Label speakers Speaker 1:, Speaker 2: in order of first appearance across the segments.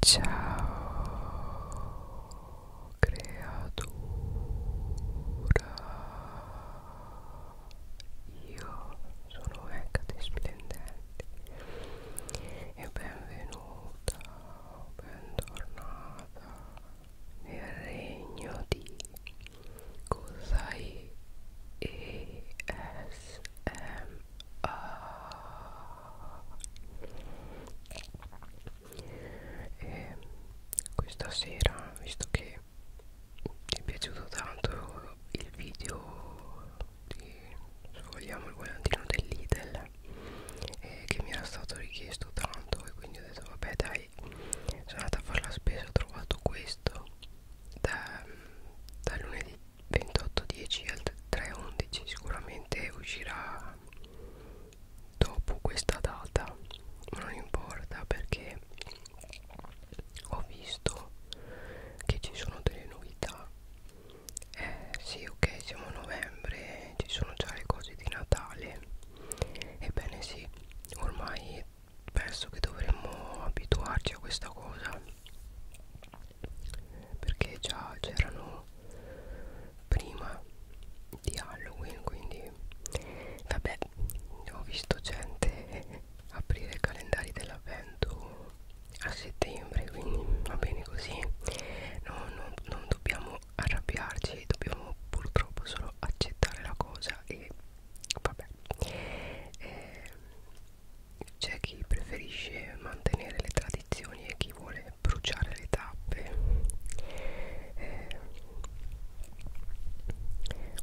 Speaker 1: Ciao creatura Io sono Hecate Splendente e benvenuta, bentornata nel regno di Cosai ESMA e questa sera visto che mi è piaciuto tanto il video di sfogliamo il volantino del Lidl eh, che mi era stato richiesto tanto e quindi ho detto vabbè dai sono andata a fare la spesa ho trovato questo da, da lunedì 28.10 al 3.11 sicuramente uscirà dopo questa data ma non importa perché ho visto che ci sono delle novità eh sì ok siamo a novembre ci sono già le cose di Natale ebbene sì ormai penso che dovremmo abituarci a questa cosa perché già c'erano prima di Halloween quindi vabbè ho visto gente aprire i calendari dell'avvento a settembre quindi va bene così no, no, non dobbiamo arrabbiarci dobbiamo purtroppo solo accettare la cosa e vabbè eh, c'è chi preferisce mantenere le tradizioni e chi vuole bruciare le tappe eh,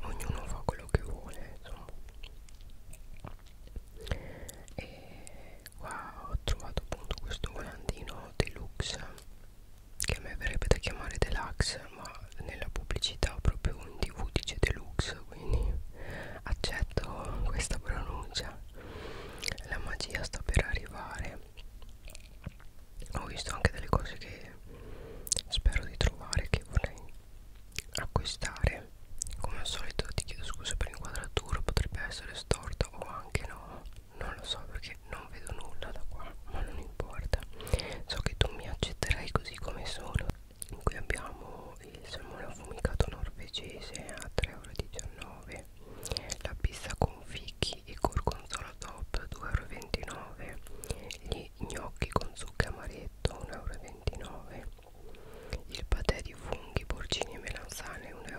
Speaker 1: ognuno fa quello che vuole insomma e qua ho trovato appunto questo volantino deluxe che a me verrebbe da chiamare deluxe ma nella pubblicità proprio in tv dice deluxe quindi accetto questa pronuncia la magia sta per arrivare ho visto anche delle cose che spero di trovare che vorrei acquistare come al solito ti chiedo scusa per l'inquadratura potrebbe essere storta o anche no non lo so perché non vedo nulla da qua ma non importa so che tu mi accetterai così come sono in cui abbiamo il salmone affumicato norvegese a 3,19 euro la pizza con fichi e gorgonzola top 2,29 euro gli gnocchi con zucca amaretto 1,29 euro il patè di funghi, porcini e melanzane 1,49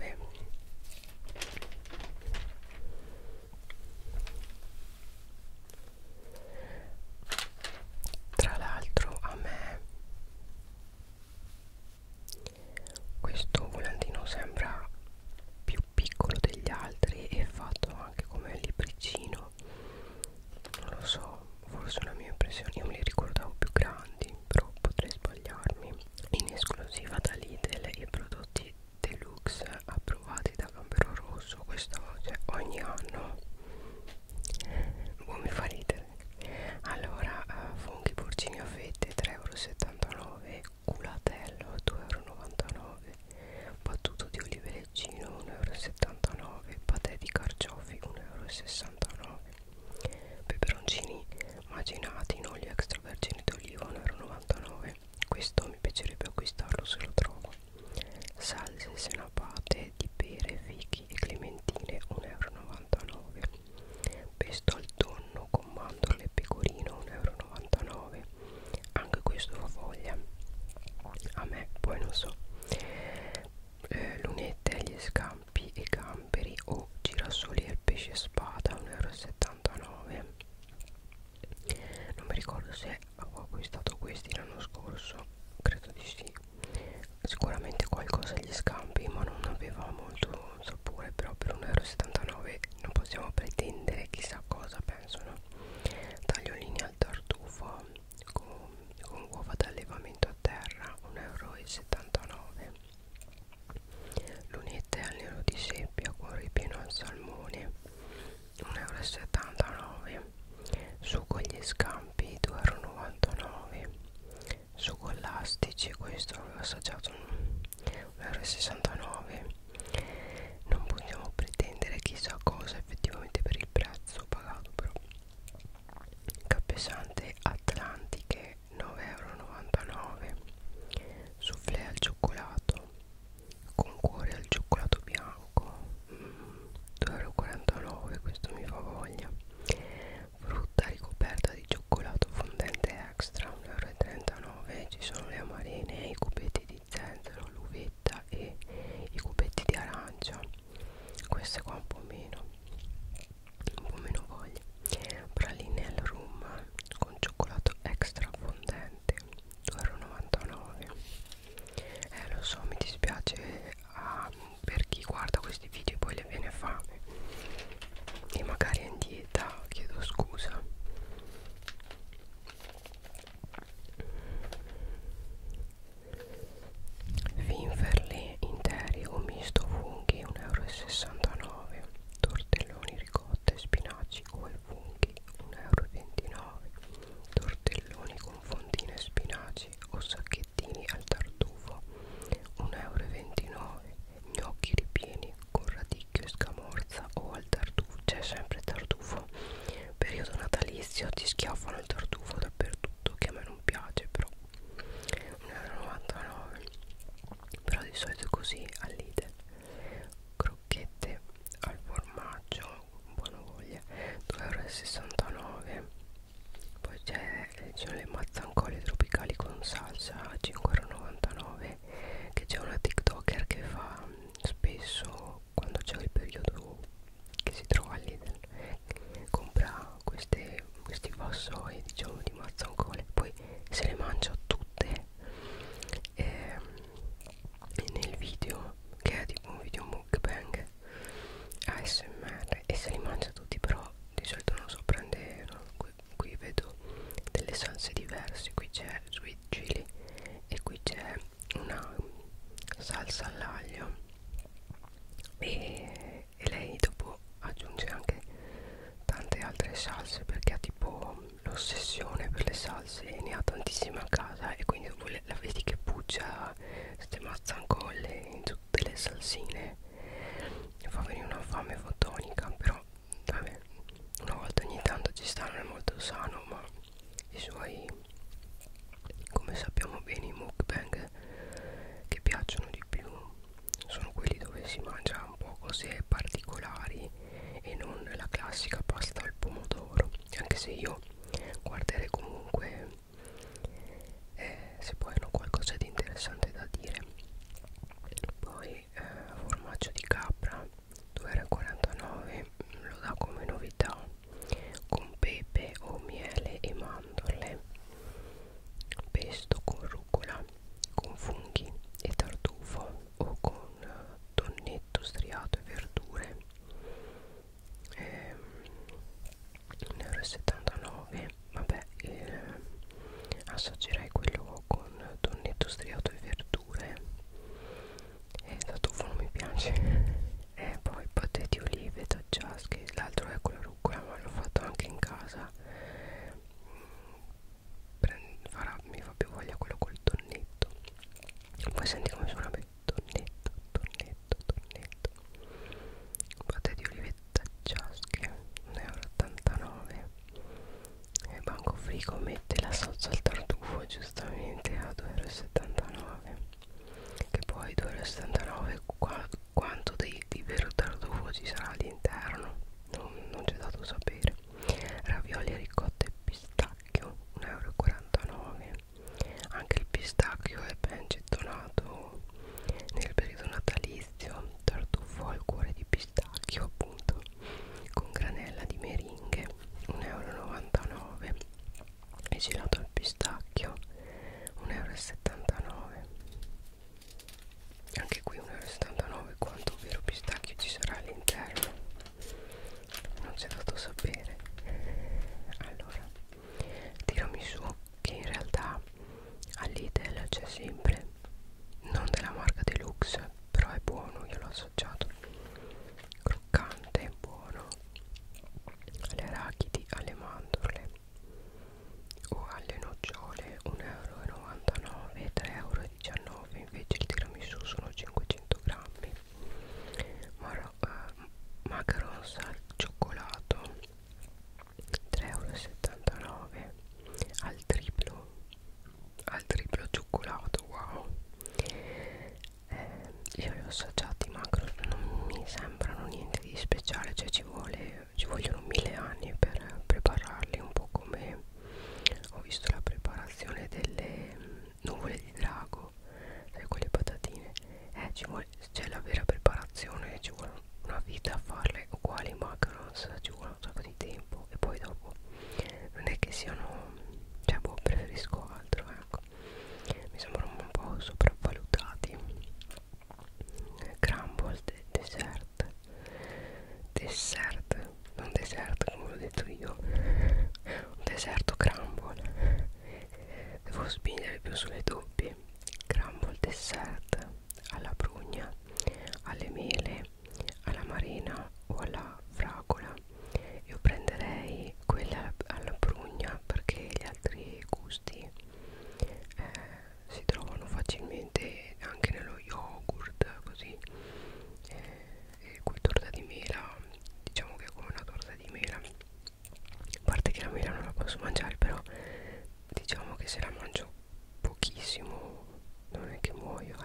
Speaker 1: euro tra l'altro a me questo volantino sembra più piccolo degli altri e fatto anche come libricino non lo so forse una mia impressione io me li ricordavo più grandi però potrei sbagliarmi in esclusiva da Lidl i prodotti deluxe approvati da Gambero Rosso quest'oggi ogni anno Boh, mi fa ridere allora eh, funghi porcini a fette 3,79€ culatello 2,99€ battuto di olive leggino 1,79€ patè di carciofi 1,69€ peperoncini macinati in olio extravergine d'oliva 1,99€ questo mi piacerebbe acquistarlo se lo trovo salse senapate bottiglie di pere, fichi e clementine 1,99 euro pesto al tonno con mandorle e pecorino 1,99 euro anche questo fa voglia a me poi non so eh, lunette agli scampi e camperi o girasoli al pesce spada 1,79 euro non mi ricordo se avevo acquistato questi l'anno scorso credo di sì sicuramente qualcosa agli scampi ma non aveva molto sapore però per 1,79€ non possiamo pretendere chissà cosa pensano taglio linea al tartufo con, con uova d'allevamento a terra 1,79€ lunette al nero di seppia con ripieno al salmone 1,79€ su con gli scampi 2,99€ su con l'astici questo avevo assaggiato 1,69€ non possiamo pretendere chissà cosa effettivamente per il prezzo pagato però cappesante atlantiche 9,99€ soufflé al cioccolato con cuore al cioccolato bianco mm, 2,49€ questo mi fa voglia frutta ricoperta di cioccolato fondente extra 1,39€ ci sono le amarene, i cubetti di zenzero, l'uvetta e i cubetti di arancia queste qua un po' meno un po' meno voglia praline al rum con cioccolato extra fondente 2,99€ eh lo so mi dispiace a, ah, per chi guarda questi video e poi le viene fame e magari è in dieta chiedo scusa Finferli interi o misto funghi 1,69 euro tortelloni ricotta e spinaci o al funghi 1,29 euro tortelloni con fondine e spinaci o sacchetti spaghettini al tartufo 1,29 euro gnocchi ripieni con radicchio e scamorza o al tartufo c'è sempre il tartufo periodo natalizio ti schiaffano il tartufo dappertutto che a me non piace però 1,99 euro però di solito è così all'idel crocchette al formaggio buona voglia 2,69 euro poi c'è le mazzancole tropicali con salsa a 5,99 che c'è una tiktoker che fa mm, spesso quando c'è il periodo che si trova lì compra queste, questi vassoi diciamo di mazzancole poi se le mangia tutte e, ehm, e nel video che è tipo un video mukbang ASMR e se li mangia tutti però di solito non so prende no? qui, qui vedo delle salse diverse qui c'è sweet chili e qui c'è una salsa all'aglio e, e lei dopo aggiunge anche tante altre salse perché ha tipo l'ossessione per le salse e ne ha tantissime a casa e quindi dopo la vedi che puccia queste mazzancolle in, tutte le salsine fa venire una fame fotonica però vabbè una volta ogni tanto ci sta non è molto sano ma i suoi come sappiamo bene i mukbang che piacciono di più sono quelli dove si mangia un po' cose particolari e non la classica pasta al pomodoro anche se io guarderei comunque eh, se poi hanno qualcosa di interessante da dire poi eh, formaggio di capra 2,49 mm, lo dà come novità con pepe o miele e mandorle pesto con rucola con funghi e tartufo o con eh, tonnetto striato e verdure ehm, 1,79 vabbè eh, assaggerai quello con tonnetto striato e verdure e eh, tartufo mi piace e eh, poi patete olive taggiasche l'altro è con la rucola ma l'ho fatto anche in casa mm, Prend, farà, mi fa più voglia quello col tonnetto poi senti come suona bene tonnetto tonnetto tonnetto tonnetto patate di olivetta ciasche 1,89 euro e banco frigo mette la salsa al tartufo giustamente a 2,79 euro che poi 2,79 euro qua, quanto di, di vero tartufo ci sarà all'interno non, non c'è dato sapere ravioli ricotta e pistacchio 1,49 euro anche il pistacchio è ben gettonato nel periodo natalizio tartufo al cuore di pistacchio appunto con granella di meringhe 1,99 euro e gelato al pistacchio 1,79 euro anche qui 1,79 euro quanto vero pistacchio ci sarà all'interno non c'è dato sapere allora tirami su che in realtà all'Idel c'è sempre non della marca Deluxe però è buono io l'ho assaggiato croccante buono alle arachidi alle mandorle o alle nocciole 1,99 euro 3,19 euro invece il tiramisù sono 500 grammi Moro, eh, macarons al cioccolato 3,79 euro al triplo al triplo cioccolato wow eh, io li ho assaggiati macro non mi sembrano niente di speciale cioè ci vuole ci vogliono mille anni per prepararli un po' come ho visto la preparazione delle nuvole di drago o sai quelle patatine eh, c'è la vera preparazione ci vuole una vita a farle uguali macarons ci vuole un sacco di tempo e poi dopo non è che siano cioè boh preferisco altro ecco mi sembrano un po' sopravvalutati crumbled dessert dessert non dessert come l'ho detto io un deserto crumble Devo spingere più sulle doppie. Crambo il dessert alla prugna, alle mele, alla marina o alla fragola. Io prenderei quella alla prugna perché gli altri gusti eh, si trovano facilmente anche nello yogurt così. Eh, e qui torta di mela, diciamo che è come una torta di mela a parte che la mela non la posso mangiare però diciamo che se la mangio pochissimo non è che muoio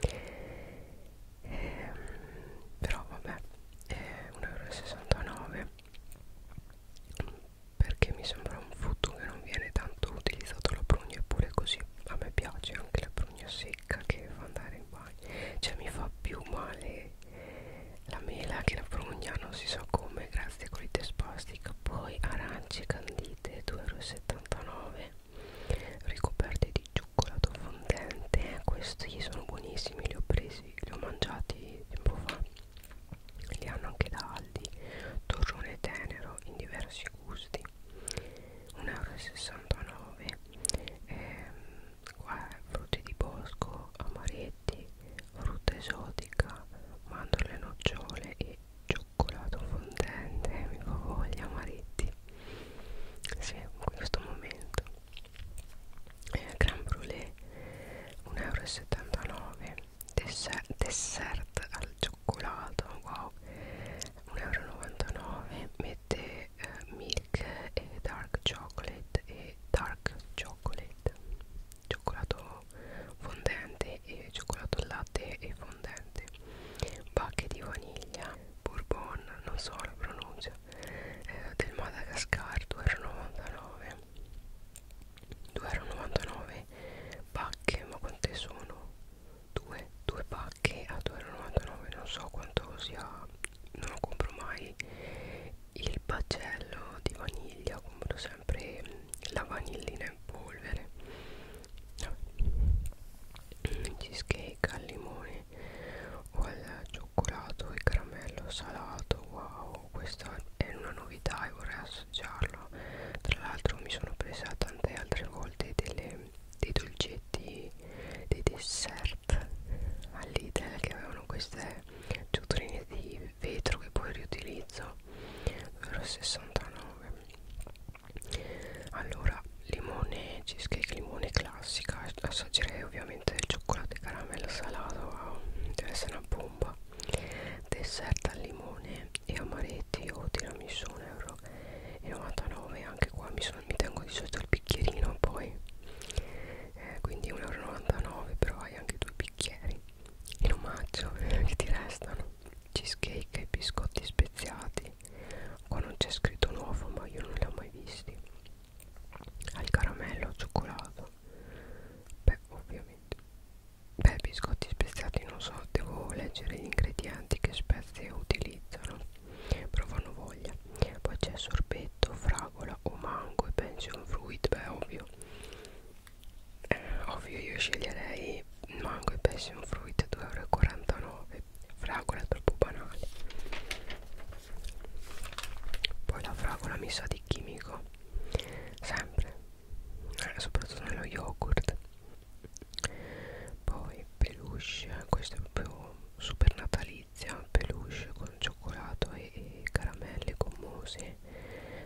Speaker 1: eh. ehm, però vabbè è 1,69 euro perché mi sembra un frutto che non viene tanto utilizzato la prugna eppure così a me piace anche la prugna secca che fa andare in bagno cioè mi fa più male la mela che da Prognano si sa come grazie a colite spastica poi arance candite 2,79 ricoperte di cioccolato fondente eh, questi sono buonissimi li ho presi li ho mangiati tempo fa li hanno anche da Aldi torrone tenero in diversi gusti 1,69 euro ehm, qua è frutti di bosco, amaretti, frutta esotica, mandorle nocciole e cioccolato fondente, eh, mi fa voglia amaretti sì, in questo momento eh, Gran Brulé 1,79 euro dessert, dessert al cioccolato wow 1,99 euro mette eh, milk e dark chocolate e dark chocolate cioccolato fondente e cioccolato al latte e fondente bacche di vaniglia bourbon non so la pronuncia eh, del Madagascar 2,99 2,99 pacche ma quante sono? due, due pacche a 2,99 non so quanto sia non lo compro mai il pagello di vaniglia compro sempre la vanillina in polvere cheesecake al limone o al cioccolato e caramello salato wow questa è una novità e vorrei assaggiarlo tra l'altro mi sono presa tante altre volte delle, dei dolcetti dei dessert all'Idel che avevano queste ciottoline di vetro che poi riutilizzo 69 allora limone cheesecake limone classica assaggerei ovviamente il cioccolato e caramello salato wow, deve essere una bomba dessert al limone e amaretti o tiramisù 1,99 euro e 99 anche qua mi, sono, mi tengo di solito il bicchierino poi eh, quindi 1,99 euro però hai anche due bicchieri in omaggio che ti restano cheesecake e biscotti speziati qua non c'è scritto nuovo ma io non li ho mai visti al caramello al cioccolato beh ovviamente beh biscotti speziati non so devo leggere gli ingredienti che spezie utilizzano però fanno voglia poi c'è sorbetto fragola o mango e pension fruit beh ovvio eh, ovvio io sceglierei mango e passion fruit 2,49 euro fragola troppo banale poi la fragola mi sa di chimico sempre eh, soprattutto nello yogurt poi peluche questo è proprio super natalizio egizia peluche con cioccolato e, e caramelle gommose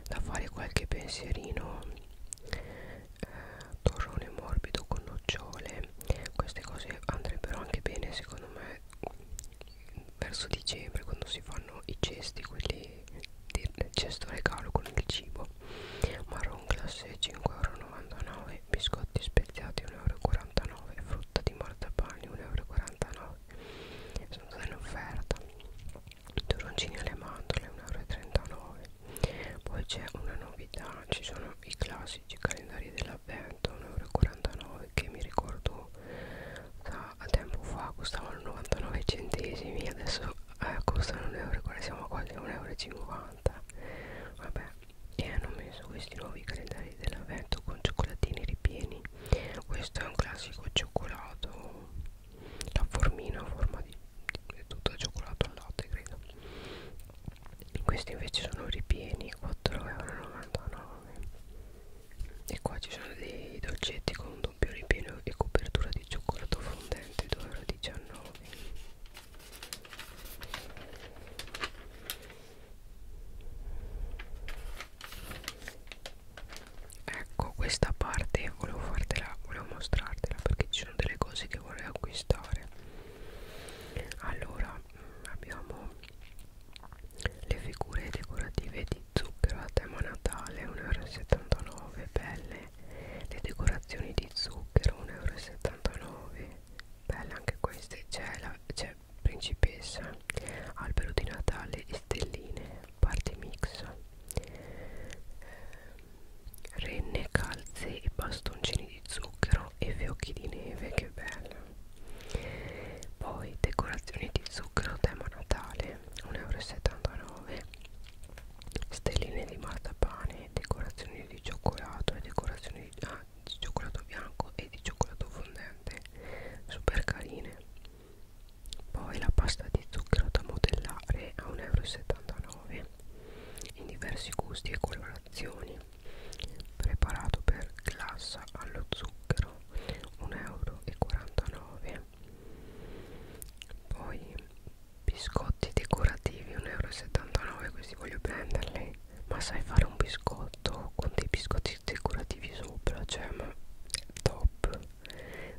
Speaker 1: da fare qualche pensierino eh, torrone morbido con nocciole queste cose andrebbero anche bene secondo me verso dicembre quando si fanno i cesti quelli del cesto regalo con il cibo marron classe 5,99 biscotti speziati 1,49 euro frutta di martapane 1,49 euro sono state in offerta turoncini alle mandorle 1,39 euro poi c'è una novità ci sono i classici calendari dell'avvento 1,49 euro che mi ricordo da a tempo fa costavano 99 centesimi adesso eh, costano 1 euro siamo quasi a 1,50 euro vabbè e hanno messo questi nuovi calendari dell'avvento con cioccolatini ripieni questo è un classico cioccolato la formina a forma di, di tutto cioccolato al latte credo questi invece sono ripieni 4,99€ e qua ci sono dei dolcetti con un doppio ripieno e copertura di cioccolato fondente 2,19€ ecco questa parte volevo fartela volevo mostrartela perché ci sono delle cose che vorrei acquistare allora mm, abbiamo le figure decorative di zucchero a tema natale 1,79€ belle le decorazioni di zucchero 1,79€ belle anche queste c'è principessa, albero di Natale e stelline, party mix, ehm, renne, calze e bastoncini di zucchero e fiocchi di neve, che bello! Poi decorazioni di zucchero tema Natale, 1,79 euro, stelline di martapane, decorazioni di cioccolato e decorazioni di, ah, di cioccolato bianco e di cioccolato fondente super carine poi la pasta di zucchero da modellare a 1,79 euro in diversi gusti e colorazioni preparato per glassa allo zucchero 1,49 euro poi biscotti decorativi 1,79 euro questi voglio prenderli ma sai fare un biscotto con dei biscotti decorativi sopra cioè ma top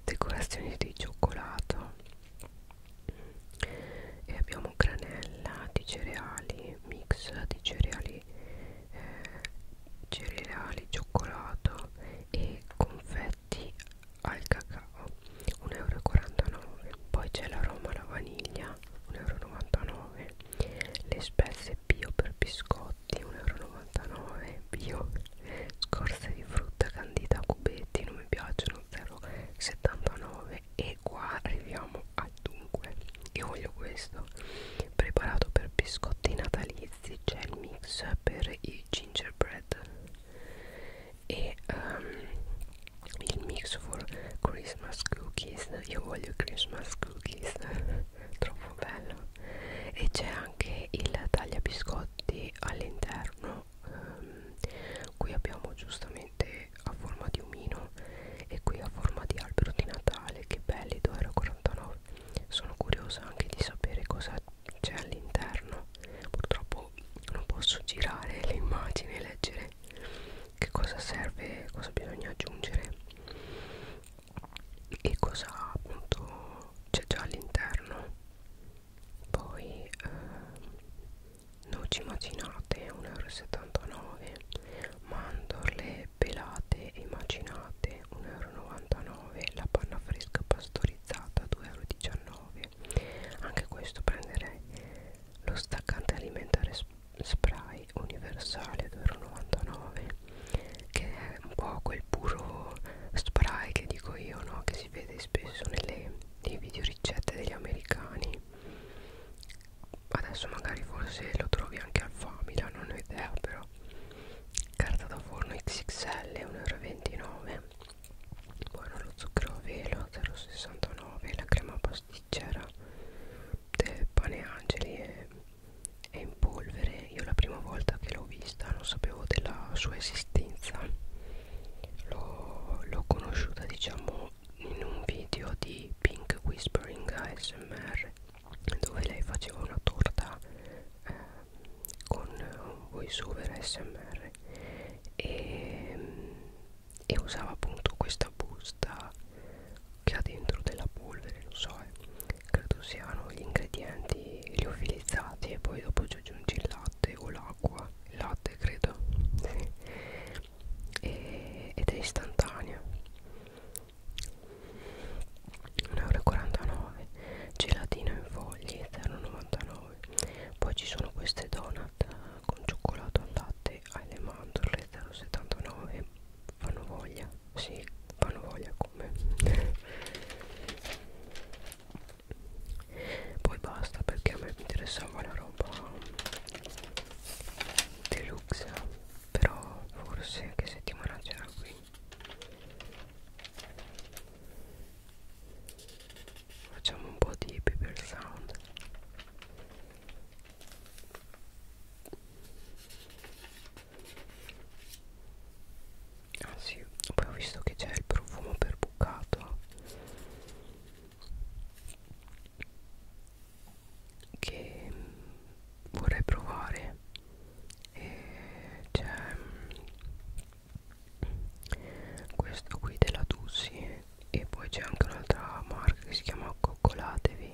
Speaker 1: decorazioni di cioccolato e abbiamo granella di cereali mix di cereali eh, cereali cioccolato e confetti al cacao 1,49 euro poi c'è l'aroma alla vaniglia 1,99 euro le spezie bio per biscotti 1,99 euro bio scorze di frutta candita a cubetti non mi piacciono 0,79 e qua arriviamo al dunque io voglio questo preparato per biscotti natalizi c'è il mix per i gingerbread e um, il mix for Christmas cookies io voglio Christmas cookies troppo bello e c'è anche il taglia biscotti all'interno um, qui abbiamo giustamente a forma di umino e qui a forma di albero di Natale che belli 2,49€ sono curiosa anche di sapere cosa c'è all'interno purtroppo non posso girare le immagini e leggere che cosa serve cosa bisogna aggiungere e cosa appunto c'è già all'interno poi eh, noci macinate 1,79 euro mandorle pelate e macinate 1,99 euro la panna fresca pastorizzata 2,19 euro anche questo prenderei lo staccante alimentare spray universale 2,99 che è un po' quel puro spray che dico io no? che si vede spesso nelle, nei video ricette degli americani adesso magari forse lo trovi anche al Famila non ho idea però carta da forno XXL 1,29 buono lo zucchero a velo 0,69 la crema pasticcera eh, pane angeli è, è in polvere io la prima volta che l'ho vista non sapevo della sua esistenza l'ho conosciuta diciamo in un video di Pink Whispering ASMR dove lei faceva una torta eh, con un voice over ASMR e e usava appunto questa busta che ha dentro della polvere, non so, eh. credo siano gli ingredienti liofilizzati e poi dopo ci aggiungi il latte o l'acqua, il latte credo, e, ed è istantanea. 1,49 euro gelatina in foglie 0,99 poi ci sono queste donut con cioccolato al latte alle mandorle 0,79 fanno voglia sì fanno voglia come poi basta perché a me mi interessava la roba deluxe però forse che settimana c'era qui facciamo un po' di paper sound ah sì poi ho visto che c'è il profumo per bucato che vorrei provare e c'è questo qui della Dussi e poi c'è anche un'altra marca che si chiama coccolatevi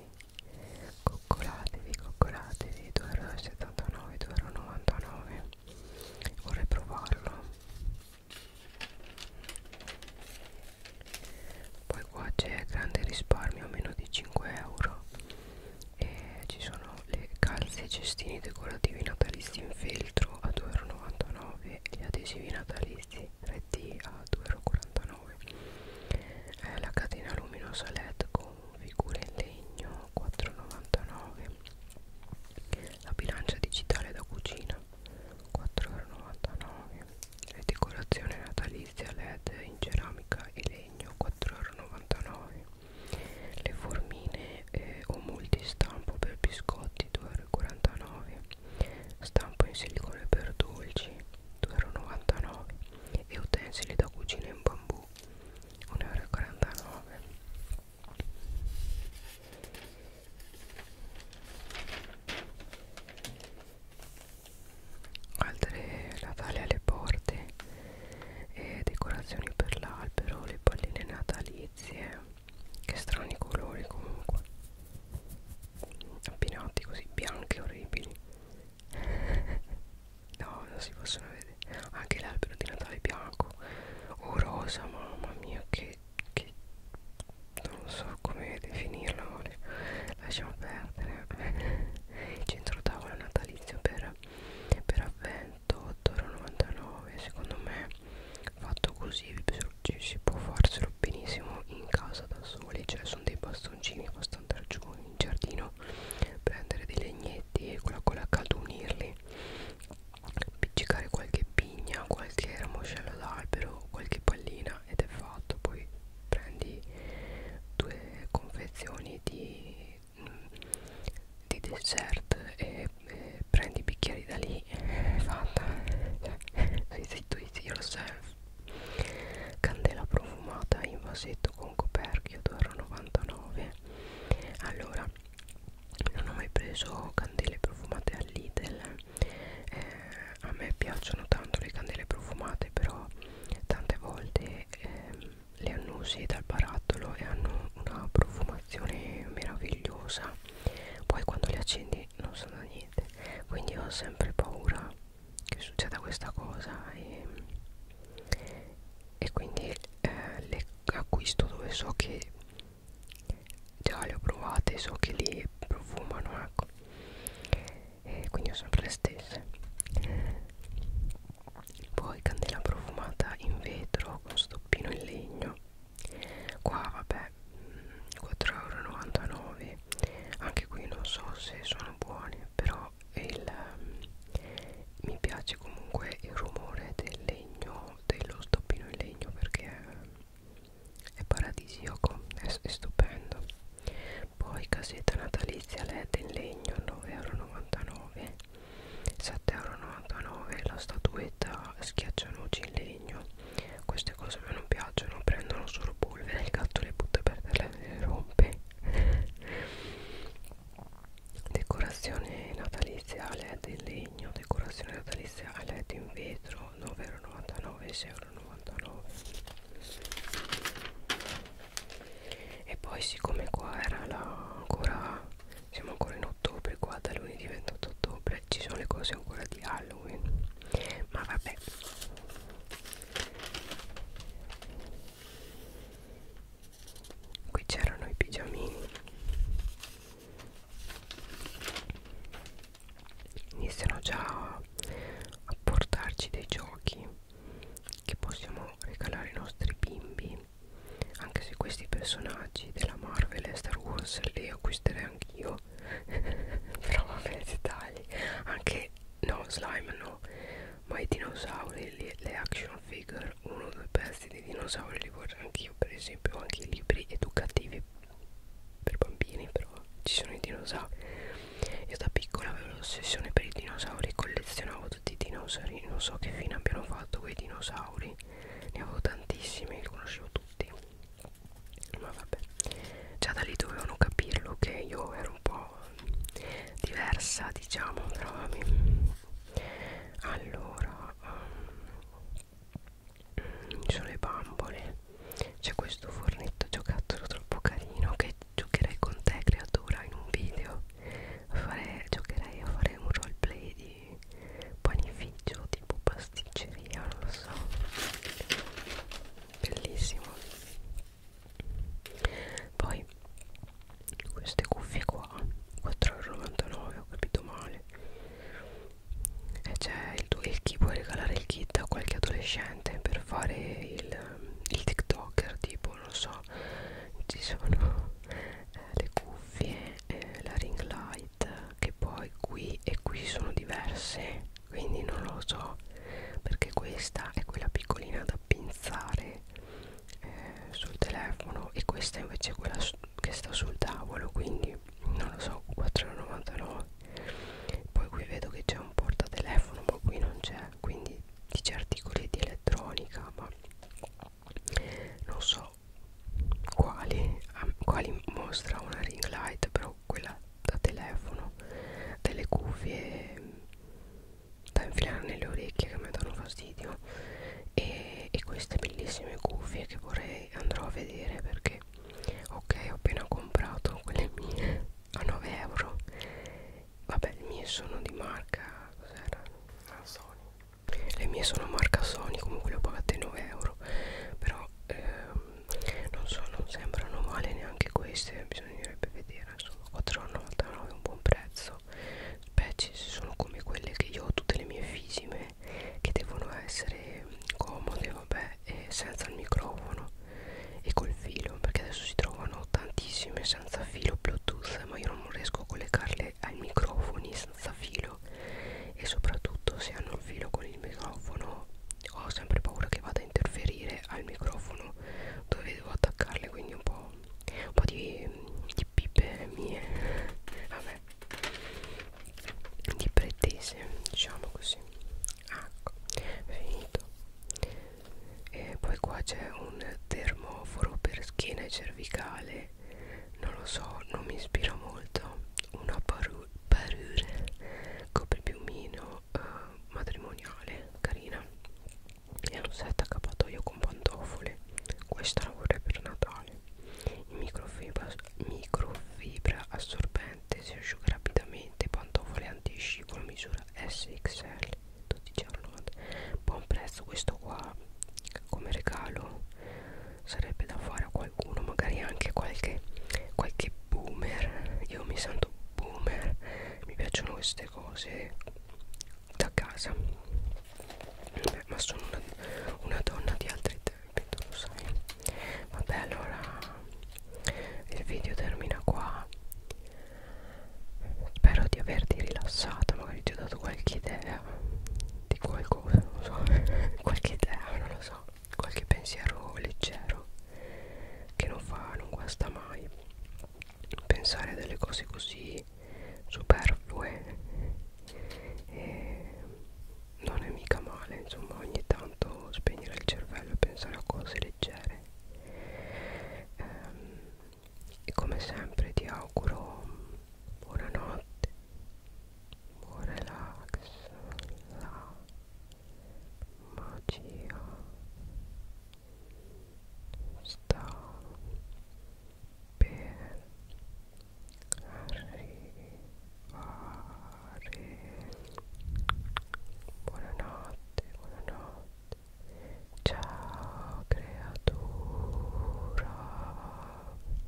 Speaker 1: coccolatevi coccolatevi 2,79 2,99 vorrei provarlo poi qua c'è grande risparmio meno di 5 euro e ci sono le calze e cestini decorativi natalizi in feltro a 2,99 euro gli adesivi natalizi RT a 2,49€ eh, la catena luminosa LED con figure in legno 4,99€ la bilancia digitale da cucina 4,99€ le decorazioni natalizie LED in ceramica e legno 4,99€ le formine eh, o multistampo per biscotti 2,99€ 2,49 stampo in silicone per dolci 2,99 e utensili da cucina in bambù 1,49 altre natale alle porte e decorazioni per l'albero le palline natalizie che strani colori comunque abbinati così bianche orribili no non si possono vedere anche l'albero di Natale bianco o oh, rosa mamma mia che, che non so come definirla vale. lasciamo perdere centro tavola natalizio per, per avvento 8,99 secondo me fatto così cioè, si può farselo benissimo in casa da soli cioè sono dei bastoncini basta andare giù in giardino prendere dei legnetti e con la colla calda unirli appiccicare qualche pigna qualche ramoscello d'albero qualche pallina ed è fatto poi prendi due confezioni di, di dessert e, e prendi i bicchieri da lì è fatta cioè, si Fit It Yourself candela profumata in vasetto con coperchio d'oro 99 allora non ho mai preso candele profumate al Lidl eh, a me piacciono tanto le candele profumate però tante volte eh, le annusi dal barattolo e hanno una profumazione meravigliosa poi quando le accendi non sa da niente quindi ho sempre paura che succeda questa cosa e, e quindi eh, le acquisto dove so che già le ho provate so che li profumano ecco e quindi ho sempre le stesse poi candela profumata in vetro con stoppino in legno qua vabbè 4,99 euro anche qui non so se sono buoni però il, mi piace comunque il rumore del legno dello stoppino in legno perché è, è paradisiaco è, è stupendo poi casetta natalizia led in legno 9,99 euro 7,99 euro la statuetta schiaccianoci in legno queste cose a me non piacciono prendono solo polvere il gatto le butta per terra le rompe decorazione natalizia led in legno decorazione natalizia led in vetro 9,99 6,99 e poi siccome qua era la, ancora siamo ancora in ottobre qua da lunedì 28 ottobre ci sono le cose ancora di Halloween ma vabbè qui c'erano i pigiamini iniziano già a portarci dei giochi che possiamo regalare ai nostri bimbi anche se questi personaggi della Marvel e Star Wars li acquisterei anch'io no però vabbè dettagli anche no slime no ma i dinosauri le, le action figure uno o due pezzi di dinosauri li vorrei anch'io per esempio anche i libri educativi per bambini però ci sono i dinosauri io da piccola avevo l'ossessione per i dinosauri collezionavo tutti i dinosauri non so che fine abbiano fatto quei dinosauri ne avevo tantissimi li conoscevo tutti ma vabbè già da lì dovevano capirlo che io ero un po' diversa diciamo tra allora um, ci sono le bambole c'è questo fornetto giocattolo troppo carino che giocherei con te creatura in un video fare, giocherei a fare un roleplay di di panificio tipo pasticceria non lo so bellissimo poi queste cuffie qua 4,99 ho capito male e c'è il tuo il chi puoi regalare il kit a qualche adolescente per fare il, il tiktoker tipo non so ci sono eh, le cuffie eh, la ring light che poi qui e qui sono diverse quindi non lo so perché questa è quella piccolina da pinzare eh, sul telefono e questa invece è quella che sta sul tavolo quindi non lo so 4,99 poi qui vedo che c'è un portatelefono ma qui non c'è quindi dice articoli di elettronica ma non so quali, quali mostra una ring light però quella da telefono delle cuffie mm, da infilare nelle orecchie che mi danno fastidio e, e queste bellissime cuffie che vorrei andrò a vedere perché ok ho appena comprato quelle mie a 9 euro vabbè le mie sono di marca cos'erano? Ah, Sony le mie sono marca Sony comunque le ho pagate 9 euro però però ehm, non so non sembrano male neanche queste bisognerebbe vedere insomma 4,99 è un buon prezzo specie se sono come quelle che io ho tutte le mie fisime che devono essere mm, comode vabbè e senza il microfono e col filo perché adesso si trovano tantissime senza filo bluetooth ma io non riesco a collegarle ai microfoni senza filo e soprattutto se hanno il filo con il microfono ho sempre paura che vada a interferire al microfono dove devo attaccarle quindi un po', un po di, di pipe mie vabbè di pretese diciamo così ecco finito e poi qua c'è un termoforo per schiena e cervicale non lo so, non mi ispira molto una parure copripiumino eh, matrimoniale carina e un set accappatoio con pantofole questa la vorrei per Natale in microfibra, microfibra assorbente si asciuga rapidamente pantofole antiscivolo misura SXL 12,90 buon prezzo questo qua come regalo sarebbe da fare a qualcuno magari anche qualche qualche boomer io mi sento boomer mi piacciono queste cose da casa Beh, ma sono una, una donna di altri tempi tu lo sai vabbè allora il video termina qua spero di averti rilassato magari ti ho dato qualche idea di qual qualcosa, non lo so, qualche idea, non lo so, qualche pensiero leggero che non fa, non guasta mai pensare a delle cose così superflue e eh, non è mica male, insomma, ogni tanto spegnere il cervello e pensare a cose leggere. Ehm, e come sempre ti auguro buonanotte more relax la magia sta per arrivare buonanotte buonanotte ciao creatura